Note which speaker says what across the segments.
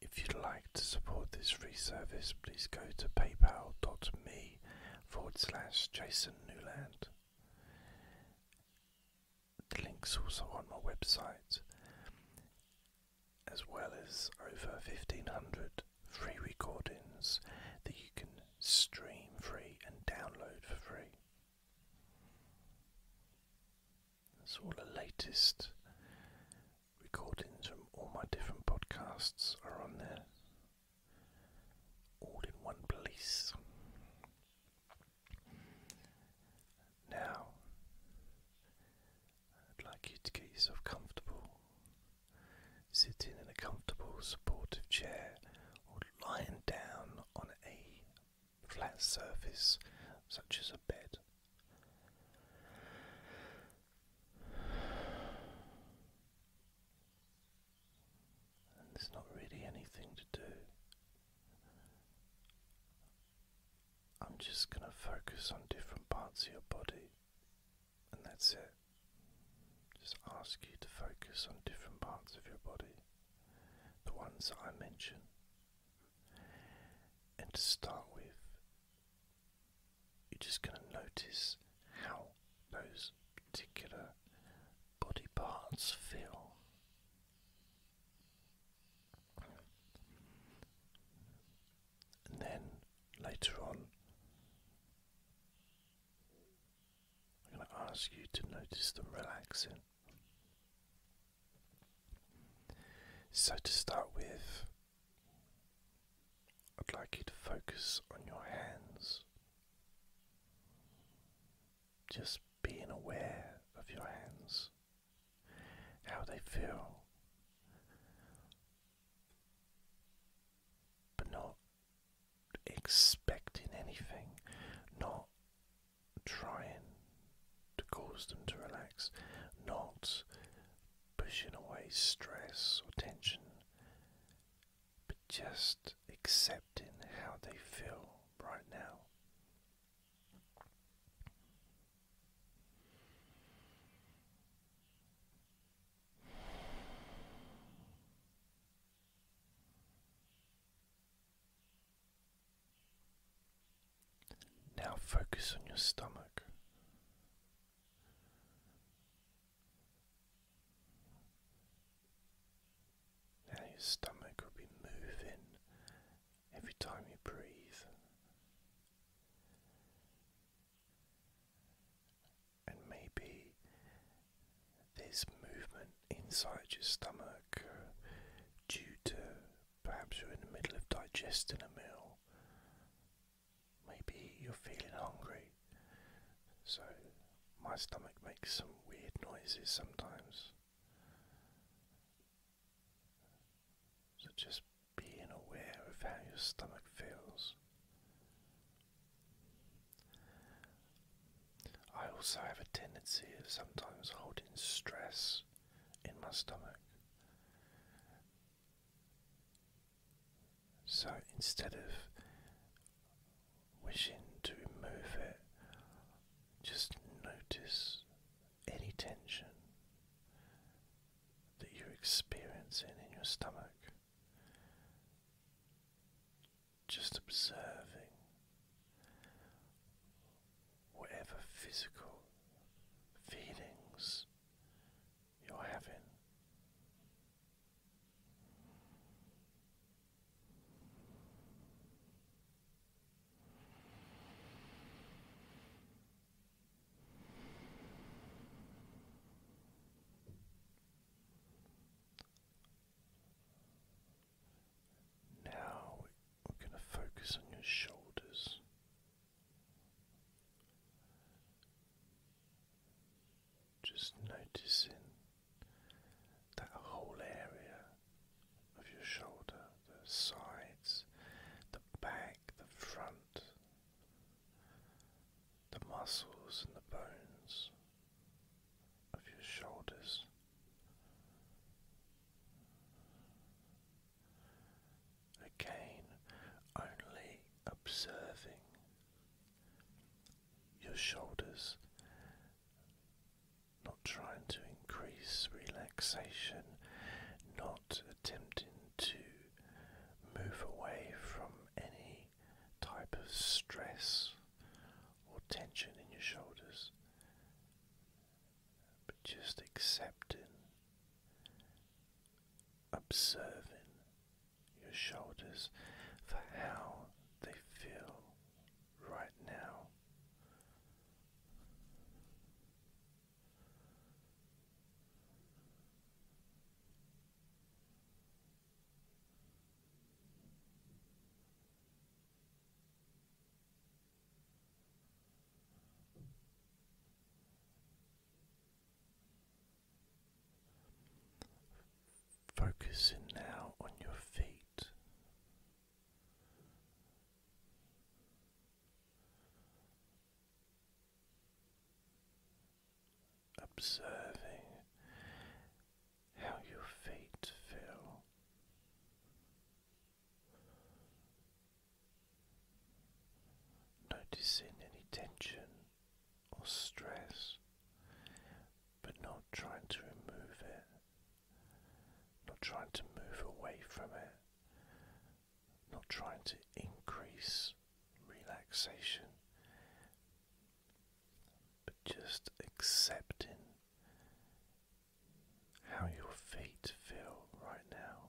Speaker 1: If you'd like to support this free service, please go to paypal.me forward slash Jason Newland. The link's also on my website, as well as over 1500 free recordings that you can stream free and download for free. That's all the latest recordings from all my different podcasts are on there. All in one place. Now, I'd like you to get yourself comfortable. Sitting in a comfortable supportive chair or lying down on a flat surface such as a bed. there's not really anything to do. I'm just going to focus on different parts of your body, and that's it. Just ask you to focus on different parts of your body, the ones I mention. And to start with, you're just going to notice how those particular body parts feel. And then later on, I'm going to ask you to notice them relaxing. So, to start with, I'd like you to focus on your hands, just being aware of your hands, how they feel, but not expecting anything, not trying to cause them to relax, not pushing away stress or tension, but just accepting how they feel right now. Now focus on your stomach. Now your stomach will be moving every time you breathe. And maybe there's movement inside your stomach due to Perhaps you're in the middle of digesting a meal. Maybe you're feeling hungry. So, my stomach makes some weird noises sometimes. So, just being aware of how your stomach feels. I also have a tendency of sometimes holding stress in my stomach. So instead of wishing to move it, just notice any tension that you're experiencing in your stomach. Just observing whatever physical feelings you're having. Now we're going to focus on your shoulders. Just noticing that whole area of your shoulder, the sides, the back, the front, the muscles and the bones of your shoulders. Again, only observing your shoulders, not trying to increase relaxation, not attempting to move away from any type of stress or tension in your shoulders, but just accepting observing your shoulders for how they feel right now. Focusing now on your feet. Observing how your feet feel Noticing any tension or stress, but not trying to remove it, not trying to move away from it, not trying to increase relaxation, but just accepting how your feet feel right now.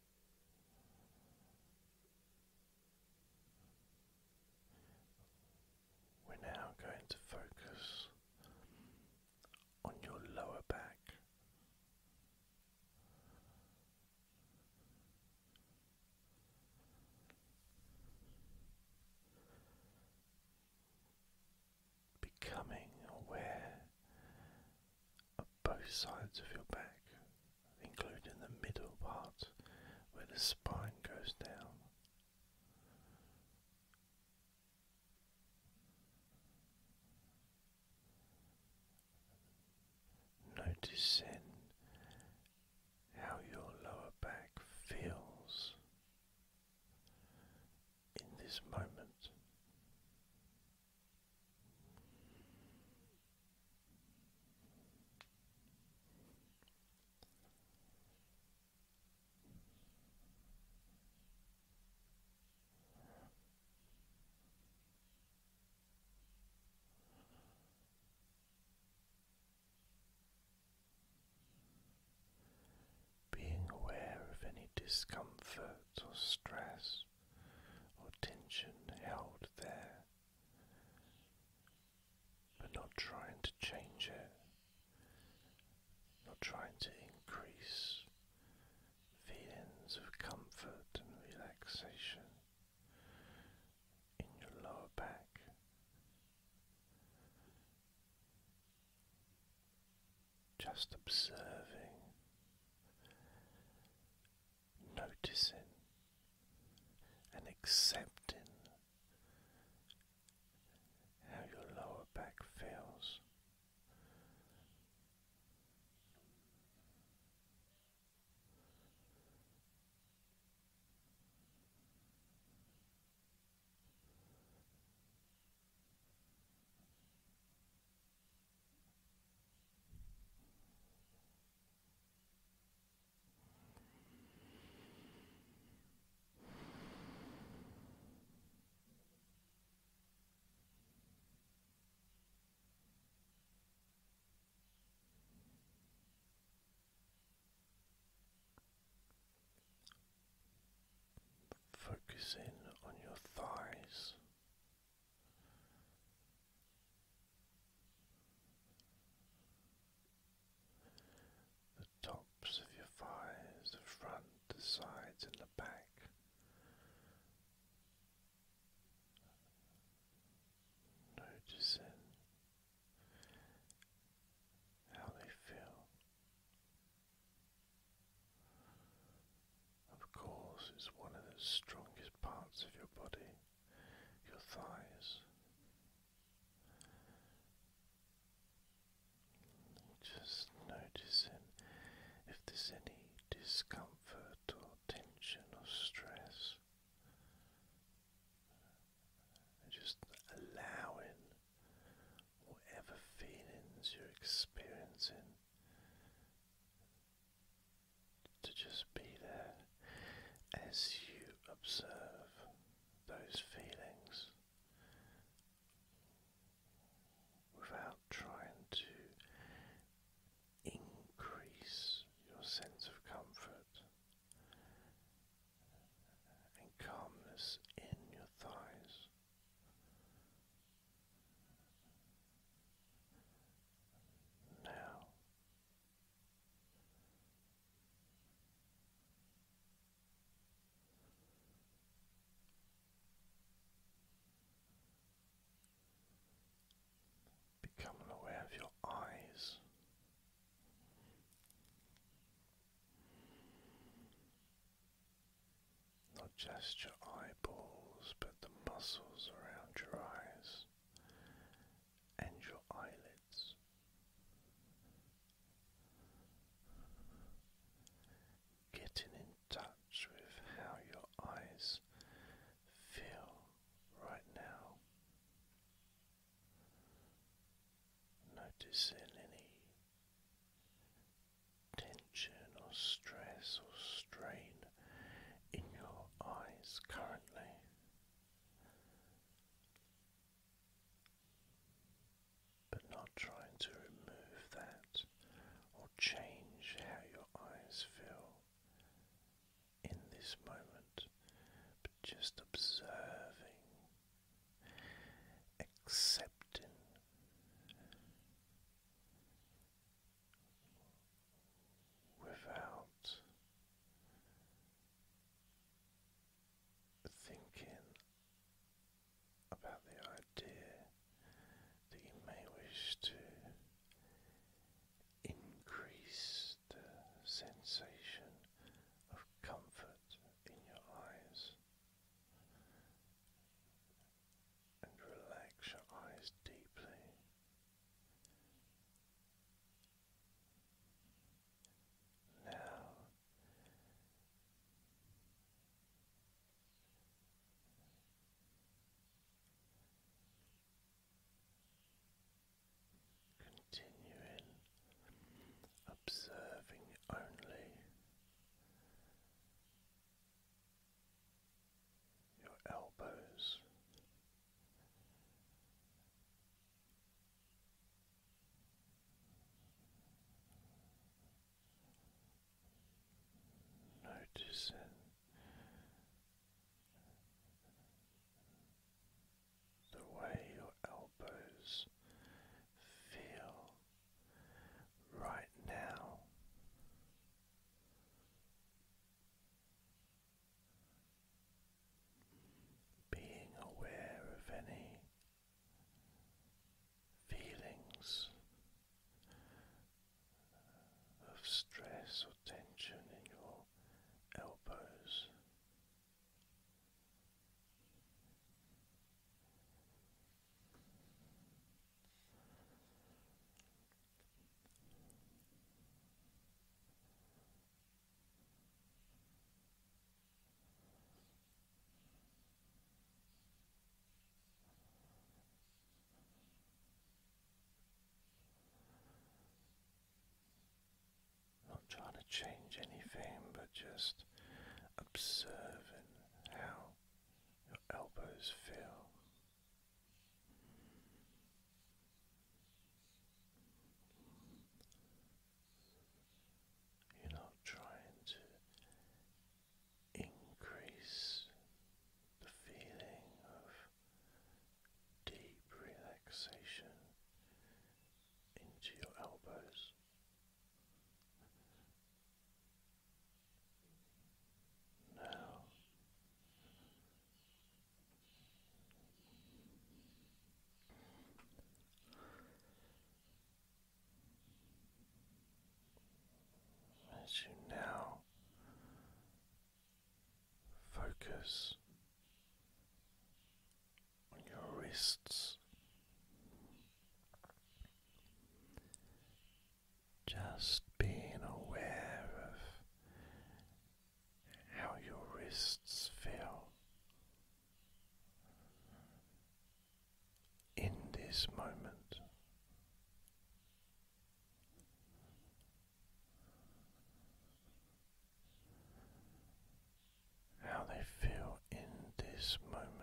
Speaker 1: We're now going to focus on your lower back. Becoming aware both sides of your back, including the middle part where the spine goes down. Noticing how your lower back feels in this moment. Being aware of any discomfort or stress or tension held there but not trying to change it, not trying to increase feelings of comfort and relaxation in your lower back. Just observing noticing and accepting how your lower back feels. Focus on your thighs the tops of your thighs, the front, the sides, and the back. Noticing how they feel. Of course, it's one of the strongest parts of your body your thighs. Just noticing if there's any discomfort or tension or stress. Just allowing whatever feelings you're experiencing to just be there as you observe those feelings without trying to increase your sense of comfort and calmness in your thighs. Now Becoming aware of your eyes. Not just your eyeballs, but the muscles around your eyes and your eyelids. Getting in touch with how your eyes feel right now. Noticing any tension or stress or strain in your eyes currently but not trying to remove that or change how your eyes feel in this moment, but just observing, accepting without thinking about the idea that you may wish to increase the sensation of comfort in your eyes and relax your eyes deeply now continuing observing only your elbows. Noticing the way your elbows feel right now being aware of any feelings of stress or tension in your elbows. Not trying to change anything, but just observing how your elbows feel. You're not trying to increase the feeling of deep relaxation into your elbows. Now as you now focus on your wrists, just being aware of how your wrists feel in this moment. How they feel in this moment,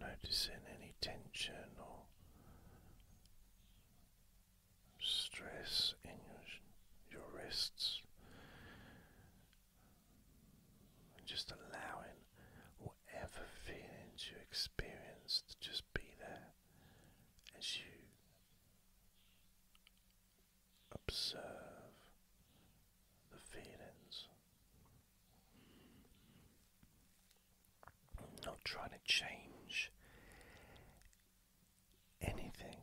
Speaker 1: Noticing any tension or stress in your, your wrists, just allowing whatever feelings you experience to just be there as you observe the feelings. Not trying to change anything.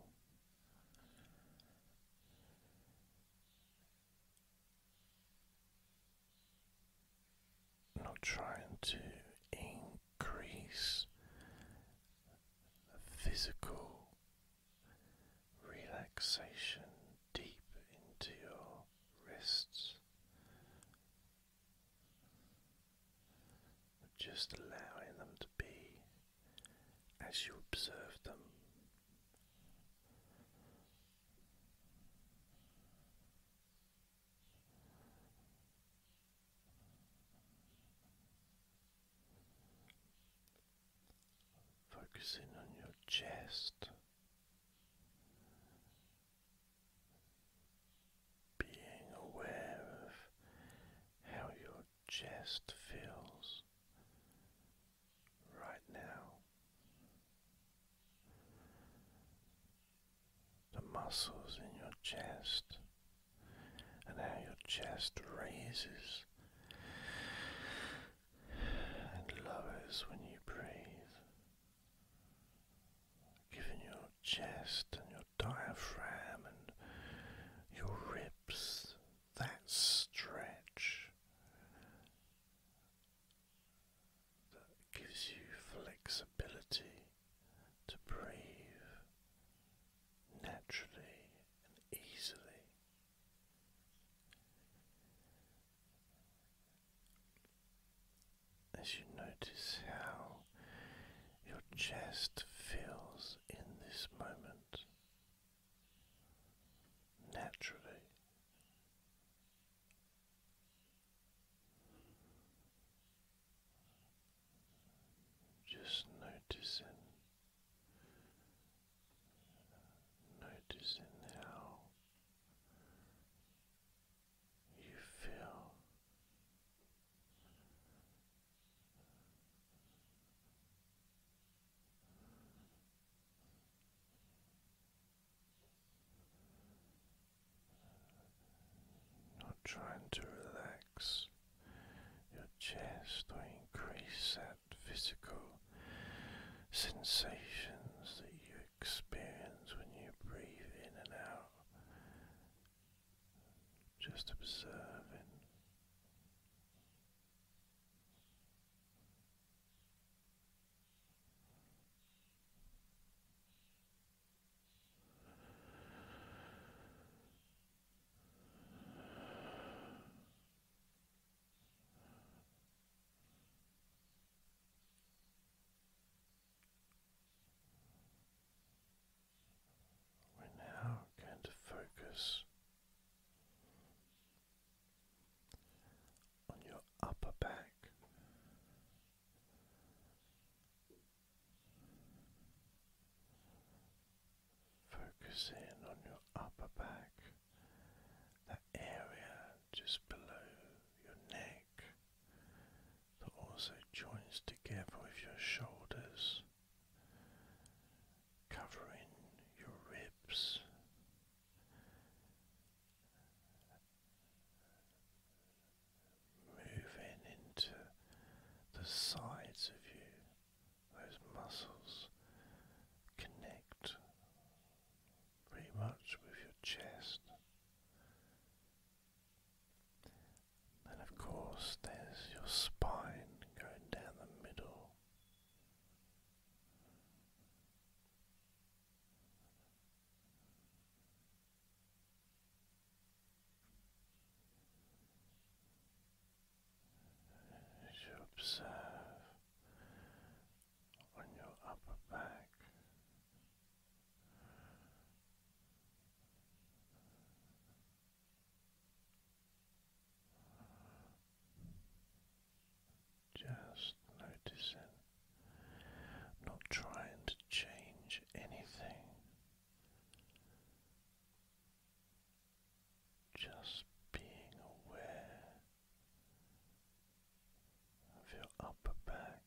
Speaker 1: Not trying to increase physical relaxation deep into your wrists. Just allowing them to be as you observe them. Focusing on your chest. Being aware of how your chest feels right now, the muscles in your chest, and how your chest raises and lowers when you breathe, giving your chest and your diaphragm and your ribs that stretch that gives you flexibility to breathe naturally and easily. As you notice how your chest feels in this moment naturally. Just noticing, noticing how you feel not trying to relax your chest or increase that physical sensations that you experience when you breathe in and out. Just observing. We're now going to focus on your upper back. Focus on your upper back, that area just below your neck that also joins together with your shoulders, covering your ribs. Moving into the sides of you, those muscles connect pretty much with your chest. And of course, there's your spine going down the middle. you observe on your upper back. Just noticing, not trying to change anything, just being aware of your upper back.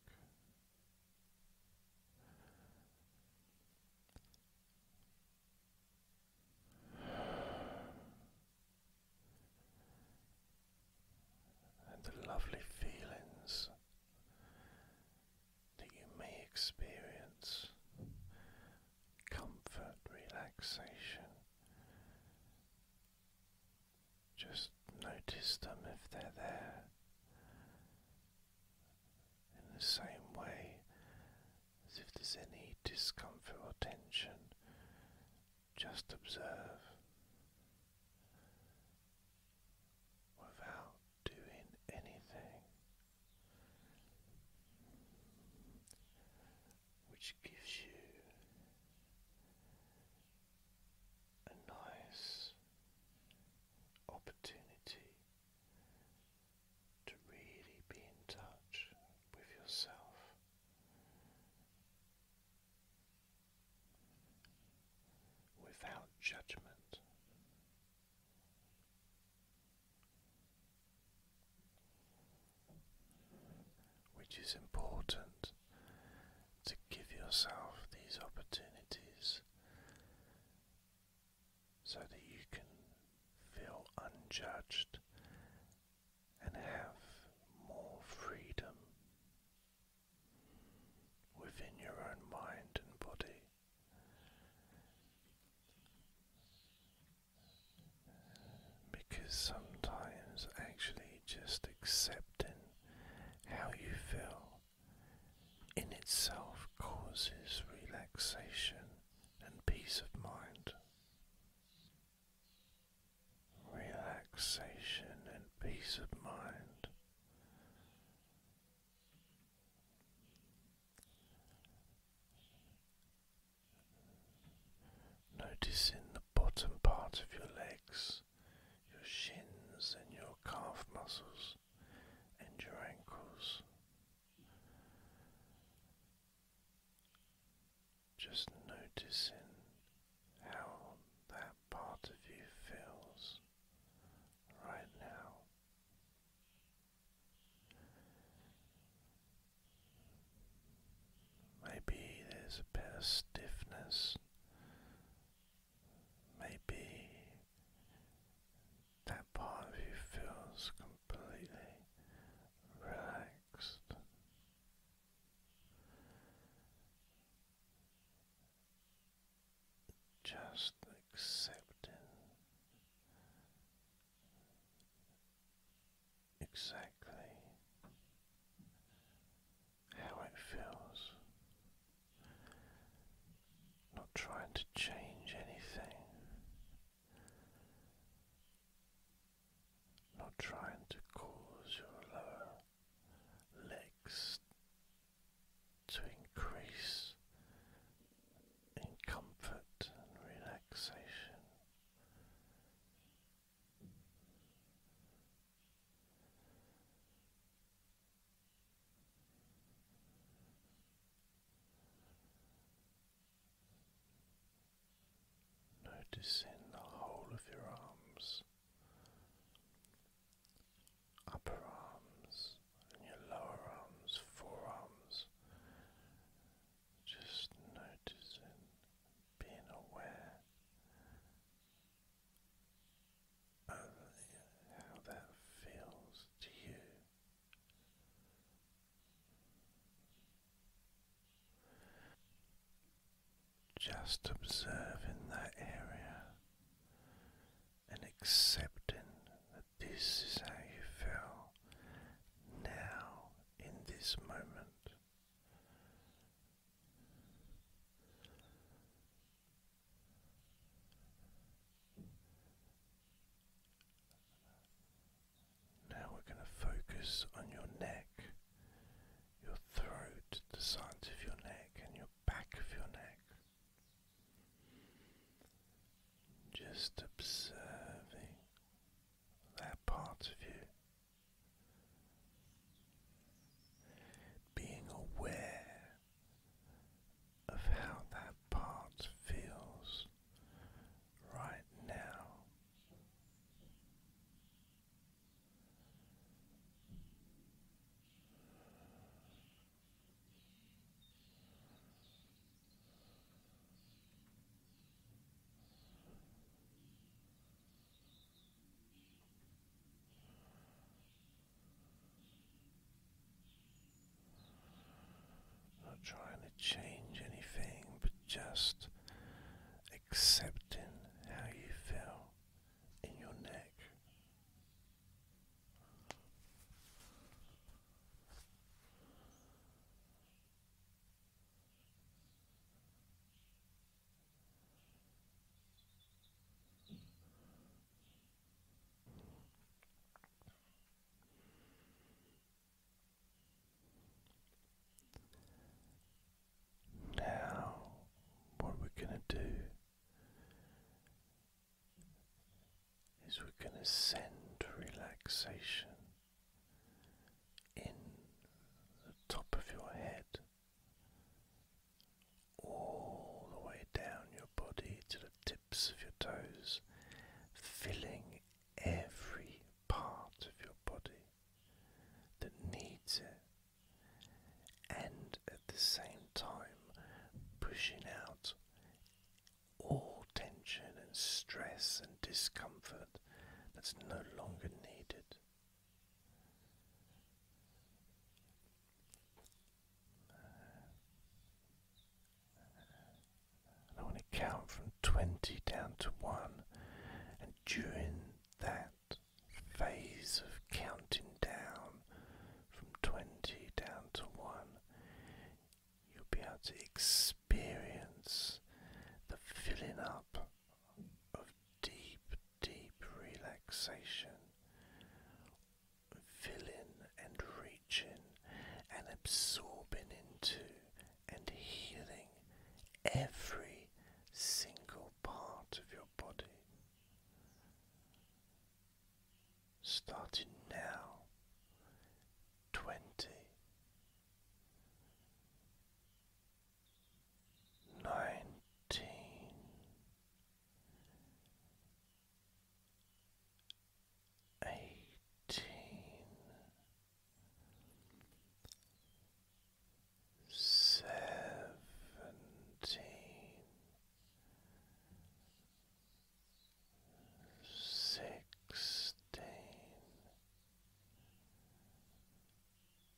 Speaker 1: And the lovely feelings that you may experience comfort, relaxation, just notice them if they're there. In the same way as if there's any discomfort or tension, just observe without doing anything which gives you a nice opportunity to really be in touch with yourself. Without judgment, which is important to give yourself these opportunities so that you can feel unjudged and have more freedom within your own mind and body because sometimes actually just accepting how you feel in itself causes relaxation and peace of mind. Relaxation and peace of mind. Noticing the bottom part of your legs your shins and your calf muscles and your ankles. Just noticing how that part of you feels right now. Maybe there's a bit of stiffness. Maybe that part of you feels completely relaxed. Just accepting exactly how it feels, not trying to change anything, not trying to cause your lower legs to increase in comfort and relaxation. Noticing the whole of your arms, upper arms, your lower arms, forearms. Just noticing, being aware only how that feels to you. Just observing that area and accepting that this is how you feel now in this moment. Now we're going to focus on your neck, your throat, the sides of your neck, and your back of your neck. Just observing that part of you. Being aware of how that part feels right now. Not trying to change anything, but just accepting how you feel in your neck. Now, what we're going to do is we're going to send relaxation in the top of your head all the way down your body to the tips of your toes, filling every part of your body that needs it, and at the same time pushing out all tension and stress and discomfort that's no longer needed. I want to count from 20 down to 1, and during that phase of counting down from 20 down to 1, you'll be able to experience the filling up of deep, deep relaxation, filling and reaching and absorbing into and healing every single part of your body. Starting now, 20 nineteen eighteen seventeen Sixteen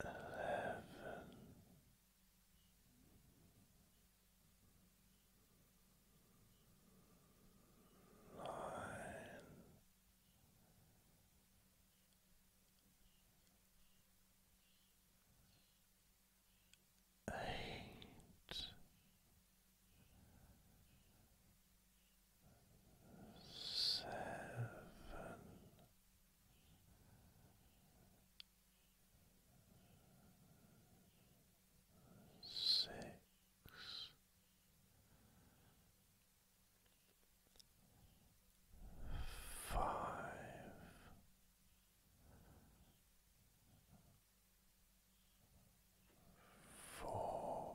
Speaker 1: eleven. eight, seven. Six, five, four,